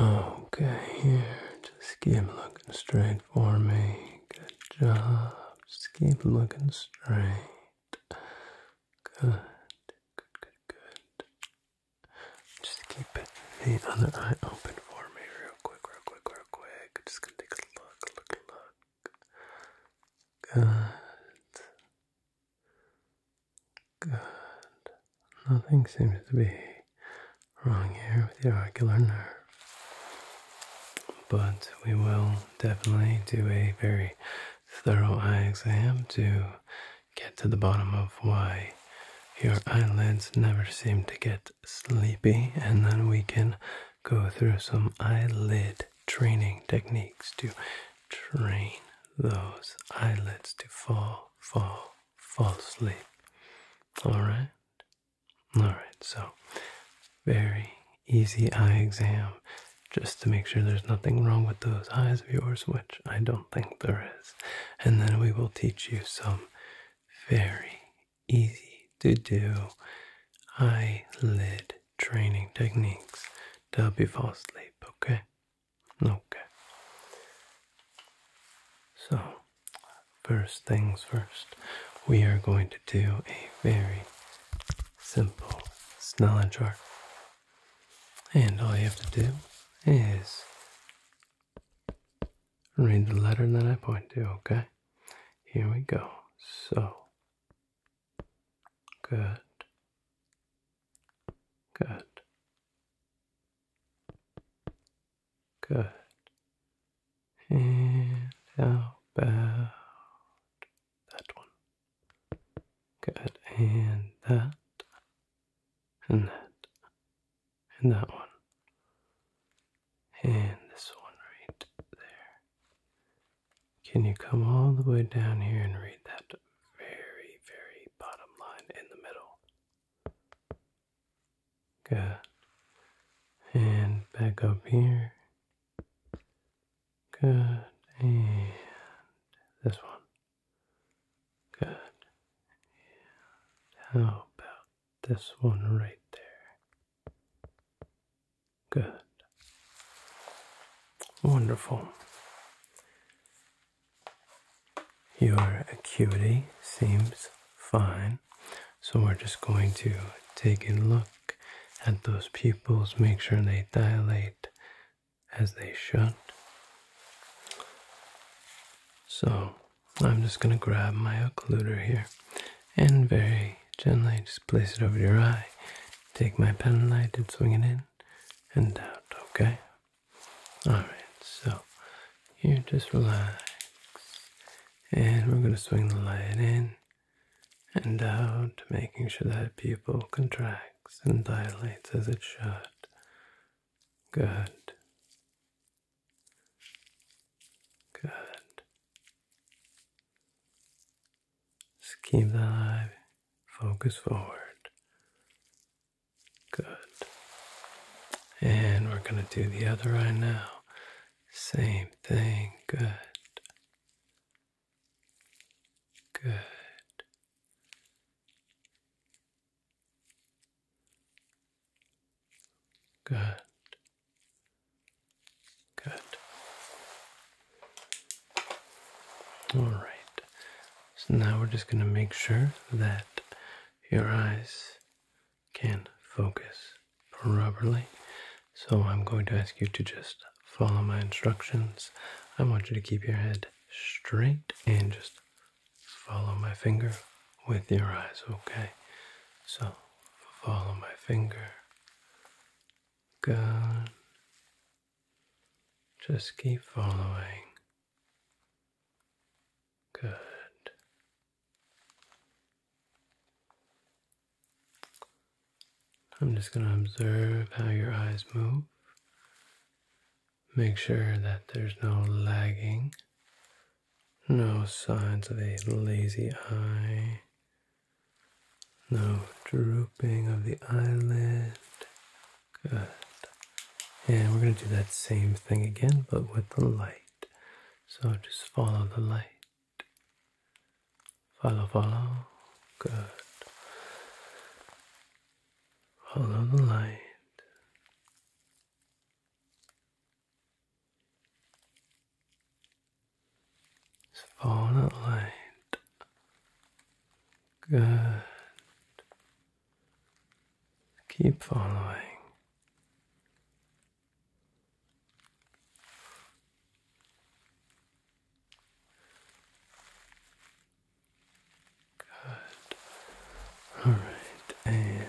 Okay, here, just keep looking straight for me. Good job. Just keep looking straight. Good, good, good, good. Just keep it the other eye open for me, real quick, real quick, real quick. Just gonna take a look, look, look. Good. Good. Nothing seems to be wrong here with your ocular nerve. But we will definitely do a very thorough eye exam to get to the bottom of why your eyelids never seem to get sleepy, and then we can go through some eyelid training techniques to train those eyelids to fall, fall, fall asleep. All right? All right, so very easy eye exam just to make sure there's nothing wrong with those eyes of yours, which I don't think there is. And then we will teach you some very easy to do eyelid training techniques to help you fall asleep, okay? Okay. So, first things first, we are going to do a very simple Snellen chart. And all you have to do is read the letter that I point to, okay? Here we go. So, good. Good. Good. And how about that one? Good. And that. And that. And that one. And this one right there. Can you come all the way down here and read that very, very bottom line in the middle. Good. And back up here. Good. And this one. Good. how about this one right there? Good. Wonderful. Your acuity seems fine. So we're just going to take a look at those pupils, make sure they dilate as they should. So I'm just going to grab my occluder here and very gently just place it over your eye. Take my pen light and swing it in and out, okay? Alright, so here, just relax. And we're going to swing the light in and out, making sure that pupil contracts and dilates as it should. Good. Good. Just keep the eye focus forward. Good. And we're going to do the other eye now. Same thing. Good. Good. Good. Good. All right. So now we're just going to make sure that your eyes can focus properly. So I'm going to ask you to just follow my instructions. I want you to keep your head straight and just follow my finger with your eyes, okay? So follow my finger. Good. Just keep following. Good. I'm just going to observe how your eyes move. Make sure that there's no lagging, no signs of a lazy eye, no drooping of the eyelid, Good. And we're going to do that same thing again, but with the light. So just follow the light. Follow, follow. Good. Follow the light. Just follow the light. Good. Keep following. Good. All right,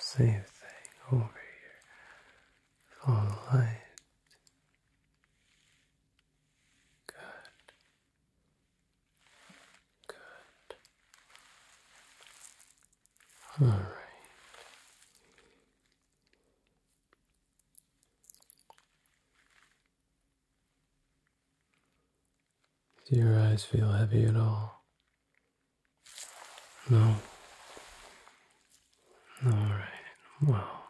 same thing over here. Follow Good. Good. All right. Do your eyes feel heavy at all? No. All right. Well,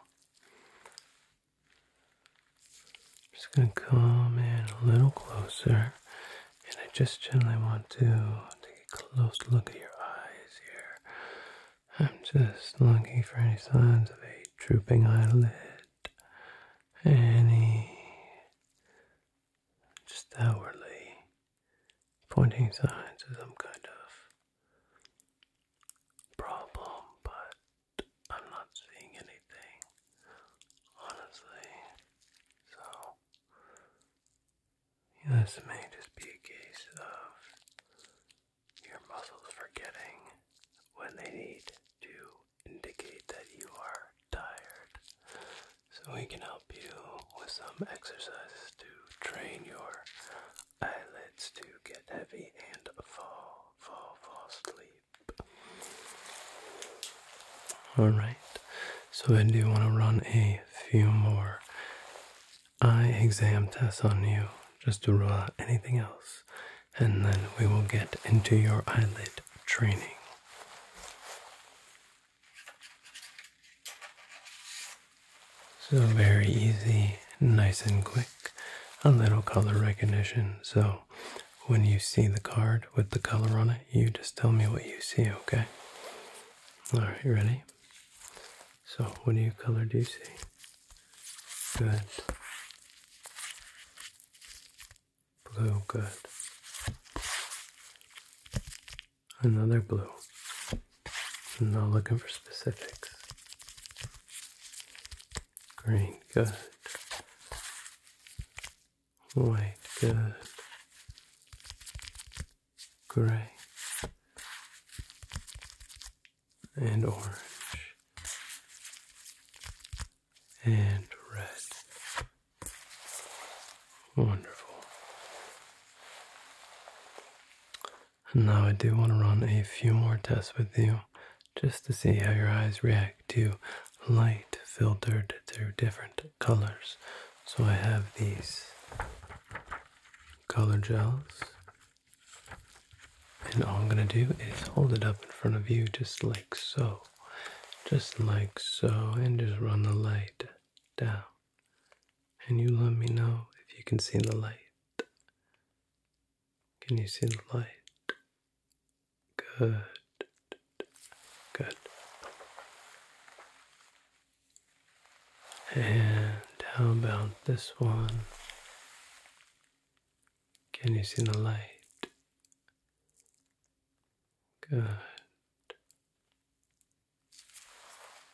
just going to come in a little closer, and I just generally want to take a close look at your eyes here. I'm just looking for any signs of a drooping eyelid, any just outwardly pointing signs of some kind of problem, but I'm not seeing anything, honestly. So, this may just be a case of your muscles forgetting when they need to indicate that you are tired. So, we can help you with some exercises to train your eyelids to get heavy and fall, fall, fall asleep. All right. So I do want to run a few more eye exam tests on you just to rule out anything else, and then we will get into your eyelid training. So very easy, nice and quick a little color recognition. So when you see the card with the color on it, you just tell me what you see, okay? Alright, ready? So what do you color do you see? Good. Blue, good. Another blue. I'm not looking for specifics. Green, good. White, good. Gray and orange and red. Wonderful. And now I do want to run a few more tests with you just to see how your eyes react to light filtered through different colors. So I have these color gels, and all I'm going to do is hold it up in front of you just like so, just like so, and just run the light down. And you let me know if you can see the light. Can you see the light? Good. Good. And how about this one? Can you see the light? Good.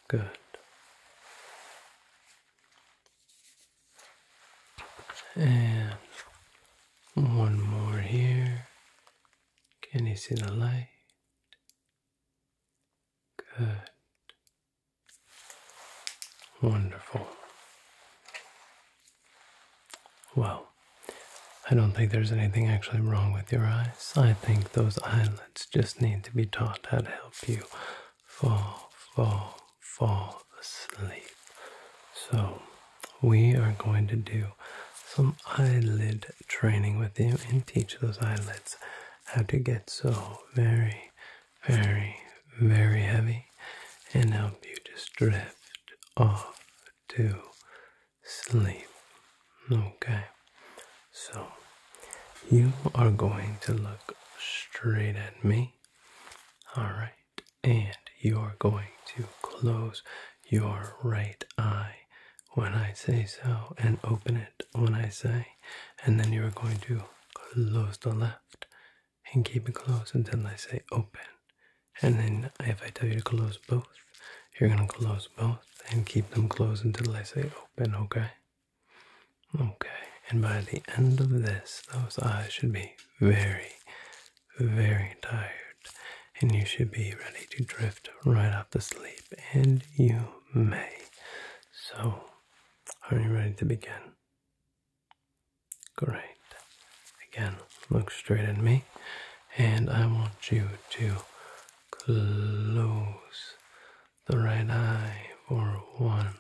Good. And one more here. Can you see the light? Good. Wonderful. Well, I don't think there's anything actually wrong with your eyes. I think those eyelids just need to be taught how to help you fall, fall, fall asleep. So, we are going to do some eyelid training with you and teach those eyelids how to get so very, very, very heavy and help you just drift off to sleep. Okay, so you are going to look straight at me. All right. And you're going to close your right eye when I say so and open it when I say. And then you're going to close the left and keep it closed until I say open. And then if I tell you to close both, you're going to close both and keep them closed until I say open, okay? Okay, and by the end of this, those eyes should be very, very tired, and you should be ready to drift right off to sleep, and you may. So, are you ready to begin? Great. Again, look straight at me, and I want you to close the right eye for one,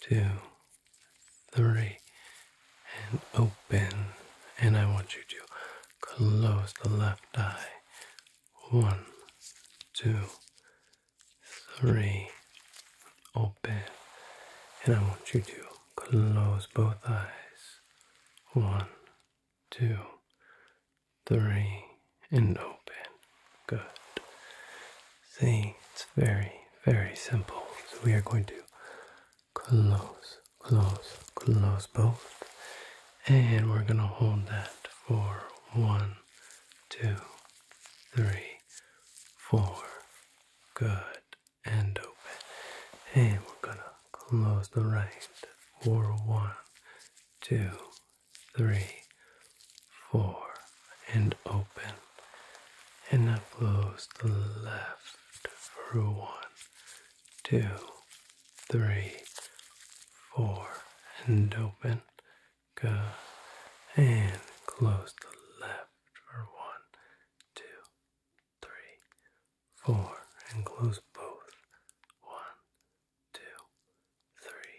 two, three, and open. And I want you to close the left eye. One, two, three, open. And I want you to close both eyes. One, two, three, and open. Good. See, it's very, very simple. So we are going to close, close, close both. And we're going to hold that for one, two, three, four. Good. And open. And we're going to close the right for one, two, three, four, and open. And now flows the left for one, two, three, four, and open. go, And close the left for one, two, three, four, and close both. One, two, three,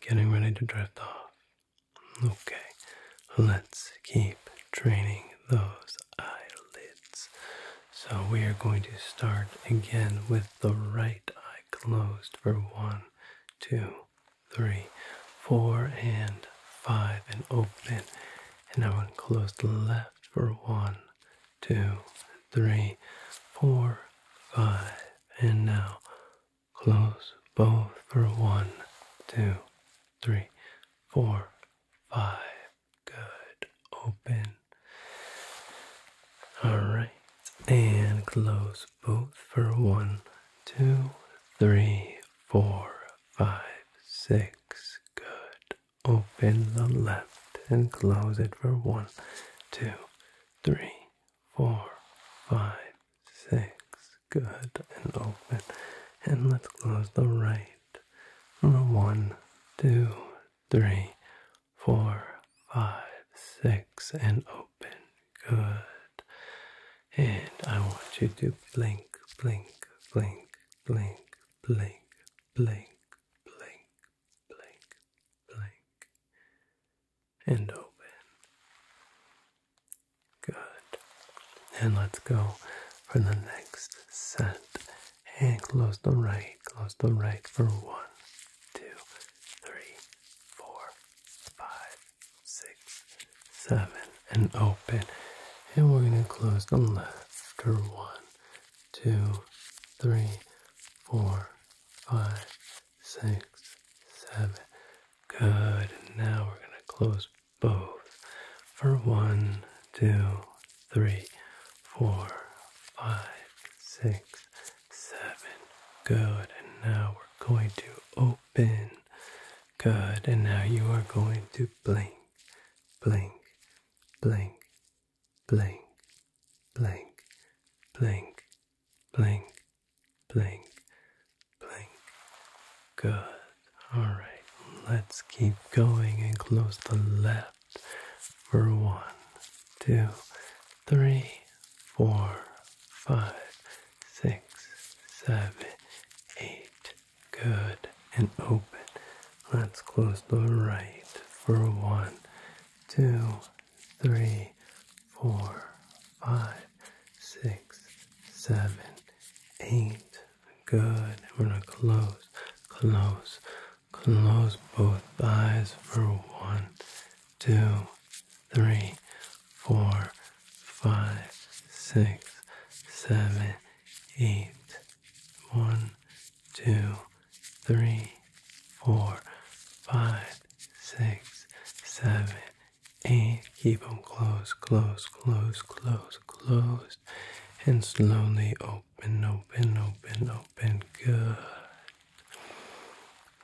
getting ready to drift off. Okay, let's keep training those eyelids. So we are going to start again with the right eye closed for one, two, three, four, and five, and open. And now we'll close the left for one, two, three, four, five, and now close both for one, two, three, four, five. Good. Open. All right. And close both for one, two, three, four, five, six. Good. Open the left and close it for one, two, three, four, five, six. Good. And open. And let's close the right. one, two, three, four, five, six. And open. Good. And I want you to blink, blink, blink, blink, blink, blink, blink, blink, blink, and open. Good. And let's go for the next set. And close the right, close the right for one, two, three, four, five, six, seven, and open. And we're going to close the left for one, two, three, four, five, six, seven. Good. And now we're going to close both for one, two, three, four, five, six, seven. Good. And now we're going to open. Good. And now you are going to blink, blink, blink, Blink, blink, blink, blink, blink, blink. Good. Alright, let's keep going and close the left for one, two, three, four, five, six, seven, eight. Good. And open. Let's close the right for one, two, three, four, five, six, seven, eight. Good. we're going to close, close, close both eyes for one, two, three, four, five, six, seven, eight. One, two, three, four, five, six, seven, eight. Keep them close, close, close, close, closed. And slowly open, open, open, open. Good.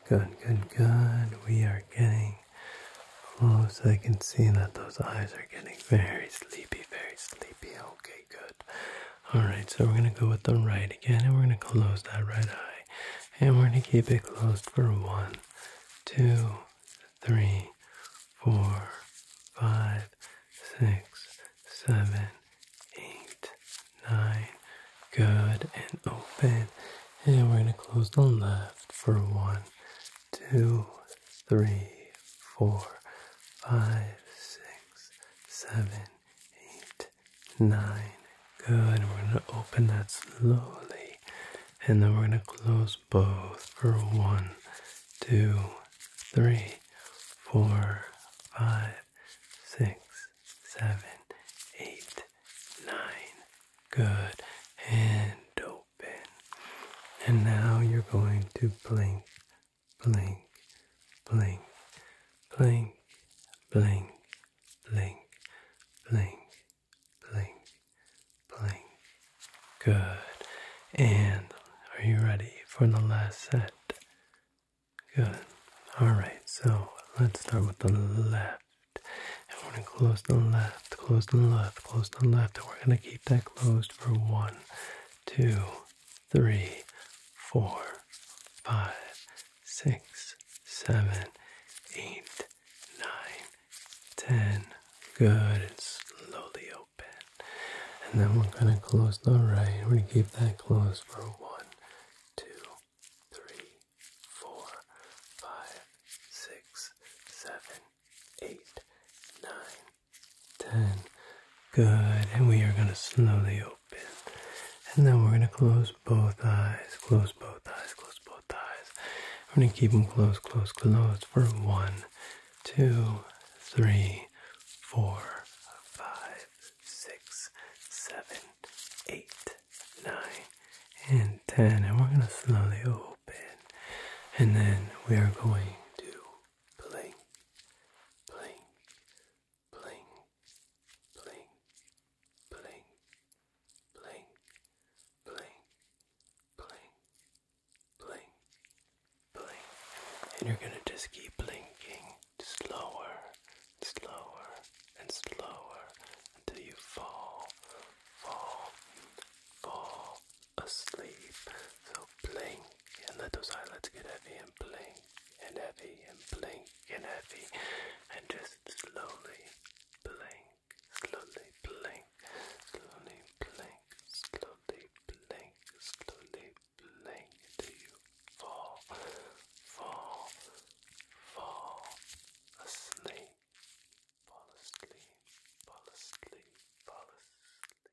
Good, good, good. We are getting close. I can see that those eyes are getting very sleepy, very sleepy. Okay, good. All right, so we're going to go with the right again, and we're going to close that right eye. And we're going to keep it closed for one, two, three, four, five, six, seven, eight, nine. Good, and open. And we're going to close the left for one, two, three, four, five, six, seven, eight, nine. Good. And we're going to open that slowly. And then we're going to close both for one, two, three, four, five, six, seven, eight, nine. Good. And open. And now you're going to blink blink, blink, blink, blink, blink, blink, blink, blink. Good. And are you ready for the last set? Good. Alright, so let's start with the left. And we're going to close the left, close the left, close the left. And we're going to keep that closed for one, two, three, four, five, six, seven, eight, nine, ten. Good. And slowly open. And then we're going to close the right. We're going to keep that closed for one, two, three, four, five, six, seven, eight, nine, 10. Good. And we are going to slowly open. And then we're going to close both eyes. Close both eyes. Close both eyes. We're going to keep them closed, close, closed for one, two, three, four, five, six, seven, eight, nine, and 10. And we're going to slowly open. And then we are going to blink, blink, bling, bling, bling, bling, bling, bling, bling, bling. And you're gonna just keep blinking slower, slower, and slower until you fall, fall, fall asleep. So blink, and let those eyelids get heavy and blink and heavy and blink and heavy and just slowly blink, slowly blink, slowly blink, slowly blink, slowly blink until you fall, fall, fall asleep, fall asleep, fall asleep, fall asleep.